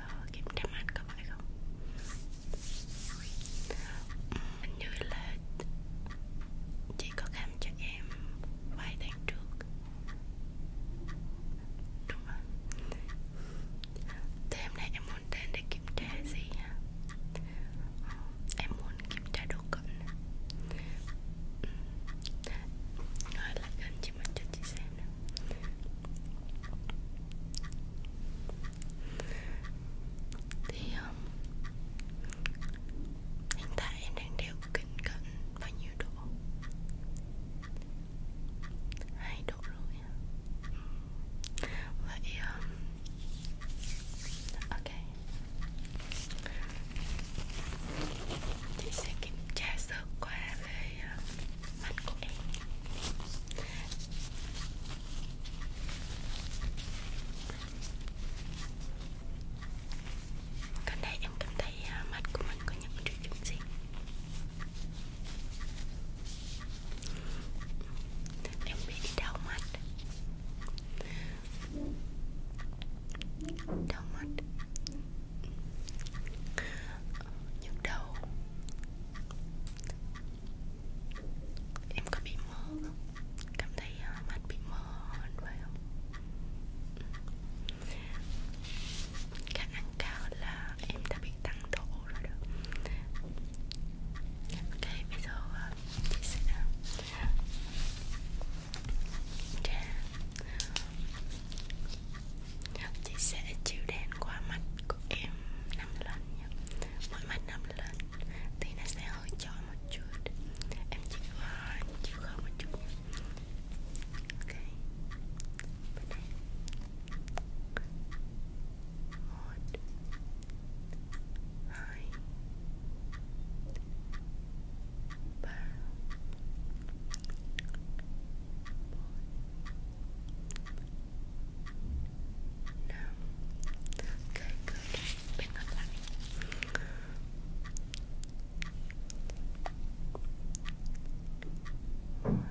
uh, ờ, kem trắng anh có phải không? Hình như là chị có khám cho em vài tháng trước Đúng rồi Thế hôm nay em muốn đến để kiểm tra gì hả? Ờ, em muốn kiểm tra đồ cận ừ. Ngồi lại gần chị mình cho chị xem nè thì um, hiện tại em đang đeo kính cận bao nhiêu độ? hai độ rồi Vậy um, Ok Chị sẽ kiểm tra sơ qua về uh, mắt của em Gần đây em cảm thấy à, mặt của mình có những triệu chứng gì? Em bị đau mắt Đau mắt Nhức đầu Em có bị mơ không? Cảm thấy uh, ờ, mắt bị mơ hơn vậy không? Ừ. Khả năng cao là em đã bị tăng độ rồi đó Ok, bây giờ uh, chị sẽ ờ, Trà Chị sẽ chiếu đèn qua mắt của em 5 lần nhé Mỗi mặt nằm lên thì nó sẽ hơi tròn một chút Em chịu hơi, chịu hơi một chút nhé Ok Bên đây Một Hai Ba bốn No. Okay, good. Bring up that. What? I no.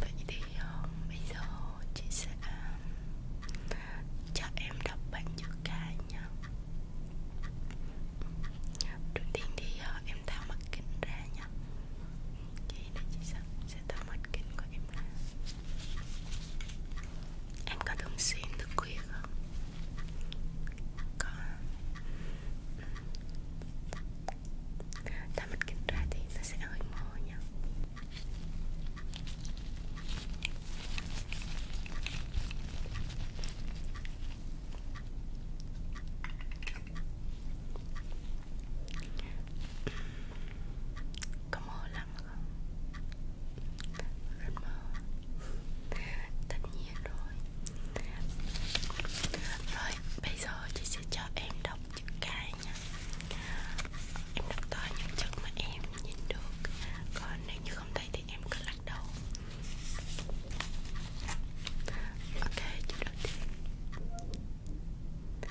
Vậy thì uh, bây giờ chị sẽ uh, cho em đọc bản chữ cái nha Đầu tiên thì uh, em tháo mặt kính ra nha Ok này chị Sâm sẽ tao mắt kính của em ra Em có thường xuyên thức khuya không? Có ừ. Tao mắt kính ra thì nó sẽ hơi mơ nha có mơ lắm không? Rất mơ Tất nhiên rồi Rồi, bây giờ chị sẽ cho em đọc chữ cái nha Em đọc to những chữ mà em nhìn được Còn nếu như không thấy thì em cứ lắc đầu Ok, chữ đầu tiên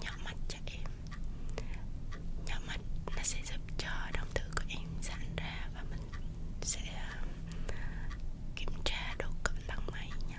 nhỏ mặt cho em nhỏ mặt nó sẽ giúp cho đồng tử của em giãn ra và mình sẽ ờ, kiểm tra độ cận bằng máy nha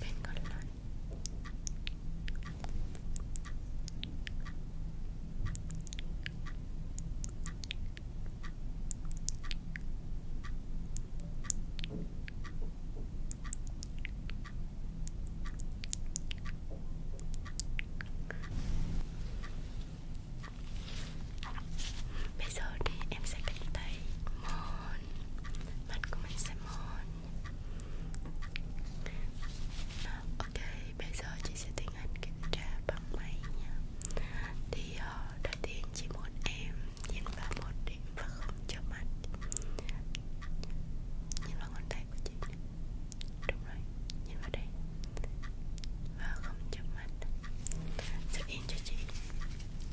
bên còn lại Bây giờ thì em sẽ cắt tay mờ mòn Mặt của mình sẽ mòn Ok, bây giờ chị sẽ tiến hành kiểm tra bằng máy nha Thì uh, đầu tiên chị muốn em nhìn vào một điểm và không cho mắt Nhìn vào ngón tay của chị Đúng rồi, nhìn vào đây Và không cho mắt Sẽ yên cho chị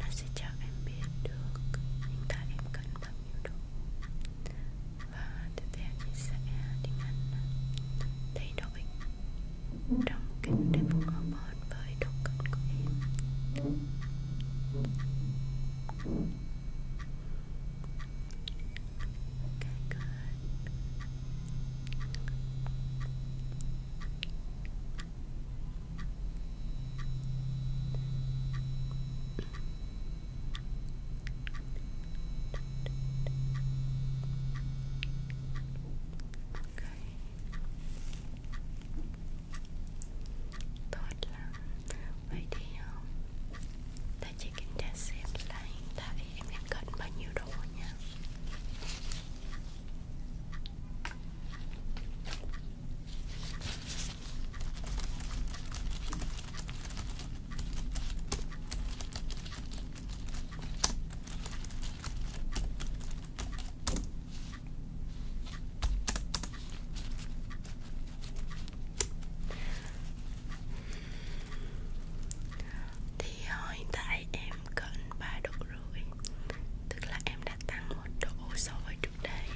Nó sẽ cho em biết được những thứ em cần thật nhiều đủ Và tiếp theo chị sẽ tiến hành thay đổi trong kênh để phù hợp hơn với độ cận của em Okay, good. Tốt lắm Vậy thì ờ, ta chỉ kiểm tra xem là hiện tại em đang cần bao nhiêu đồ nha thì ờ, hiện tại em cận 3 độ rưỡi Tức là em đã tăng một độ so với trước trước đây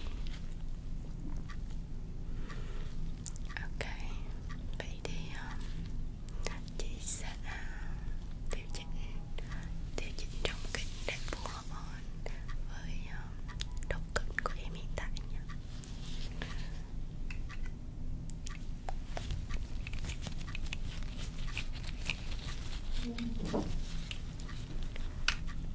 Ok Vậy thì Chị sẽ điều chỉnh Điều chỉnh trong kính để phù hợp hơn với độ cứng của em hiện tại nha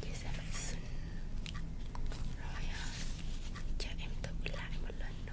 chia sẻ bạn xinh rồi à, cho em tự lại một lần nữa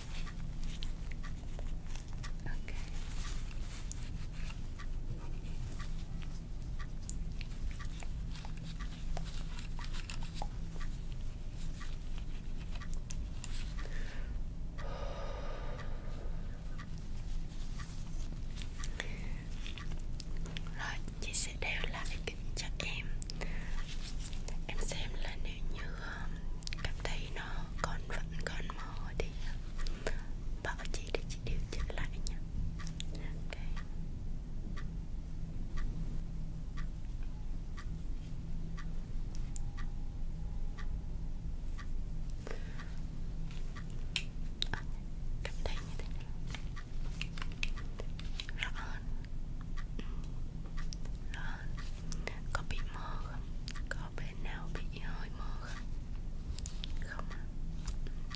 Okay. Rồi, chị sẽ đeo lại kính cho em Em xem là nếu như um, cảm thấy nó con vẫn còn mờ thì bảo chị để chị điều chỉnh lại nha okay. à, cảm thấy như thế nào rõ hơn ừ. Đó. Có bị mơ không? Có bên nào bị hơi mơ không? Không à?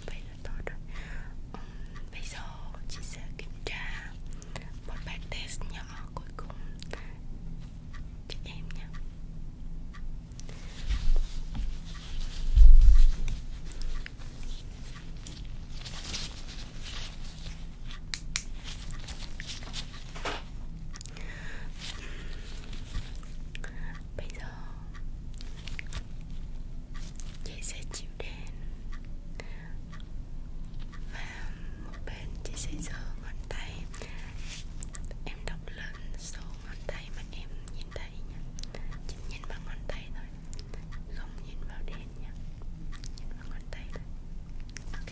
Vậy là tốt rồi ừ, Bây giờ chị sẽ kiểm tra một bài test nhỏ cuối cùng cho em nha Bây giờ chị sẽ chịu đen và một bên chị sẽ giơ ngón tay em đọc lên số ngón tay mà em nhìn thấy nha chỉ nhìn vào ngón tay thôi không nhìn vào đèn nha nhìn vào ngón tay thôi ok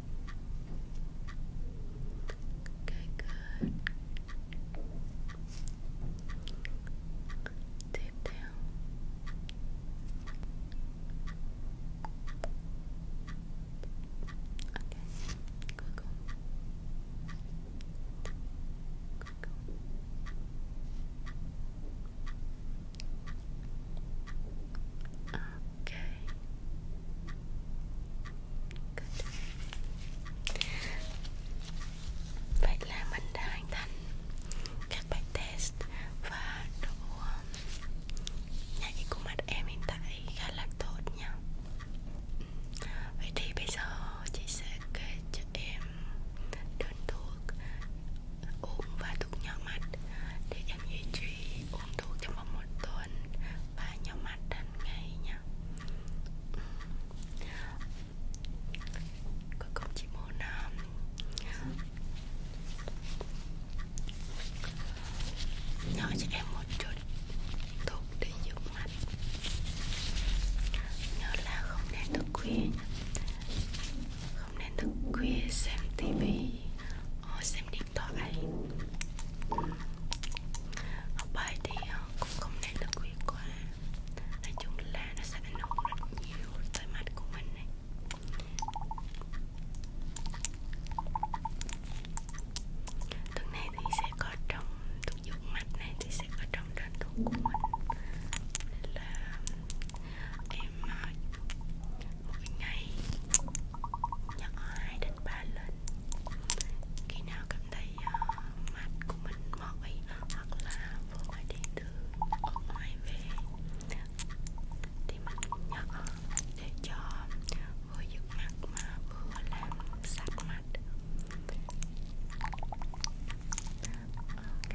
Okay, good. Deep down. Okay, good. Good. Okay. Good. Vậy là mình đã hoàn thành các bài test và độ nhạy của mặt em hiện tại khá là tốt nha. Vậy thì bây giờ chị sẽ kê cho em đơn thuốc uống và thuốc nhỏ mặt để em duy trì uống thuốc trong vòng một tuần và nhỏ mặt hàng ngày nha ừ. Cuối cùng chị muốn um, nhỏ cho em một chút thuốc để dưỡng mặt Nhớ là không nên thức khuya nha không nên thức khuya xem tivi ờ, xem điện thoại học ờ, bài thì ờ, cũng không nên thức khuya quá nói chung là nó sẽ ảnh hưởng rất nhiều tới mắt của mình này Tuần này thì sẽ có trong thuốc dụng mặt này thì sẽ có trong đơn thuốc của mình Nên là em ờ, một ngày nhận hai đến ba lần khi nào cảm thấy uh, ờ, mặt của mình mỏi hoặc là vừa phải đi từ ở ngoài về thì mình nhận để cho vừa giữ mặt mà vừa làm sạch mặt Okay.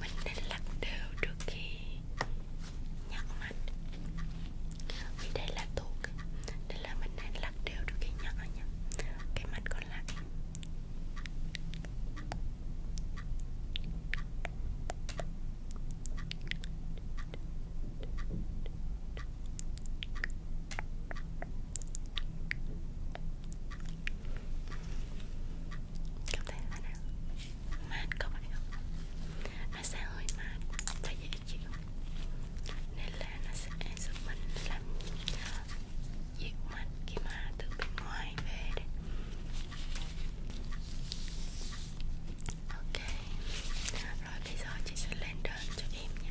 Mình nên lắc đều trước khi nhặt mặt Vì đây là thuốc Nên là mình nên lắc đều trước khi nhặt nha Cái mặt còn lại Cảm thấy thế nào? Mát có phải không? Massage hơi mát, thấy dễ chịu Nên là nó sẽ giúp mình làm dịu mặt khi mà từ bên ngoài về đấy Ok Rồi bây giờ chị sẽ lên đơn cho em nha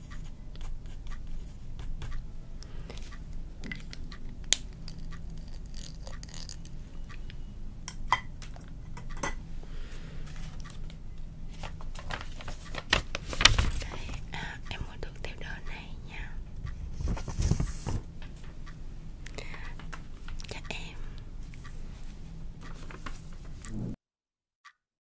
Đây, à, em mua được theo đơn này nha Các em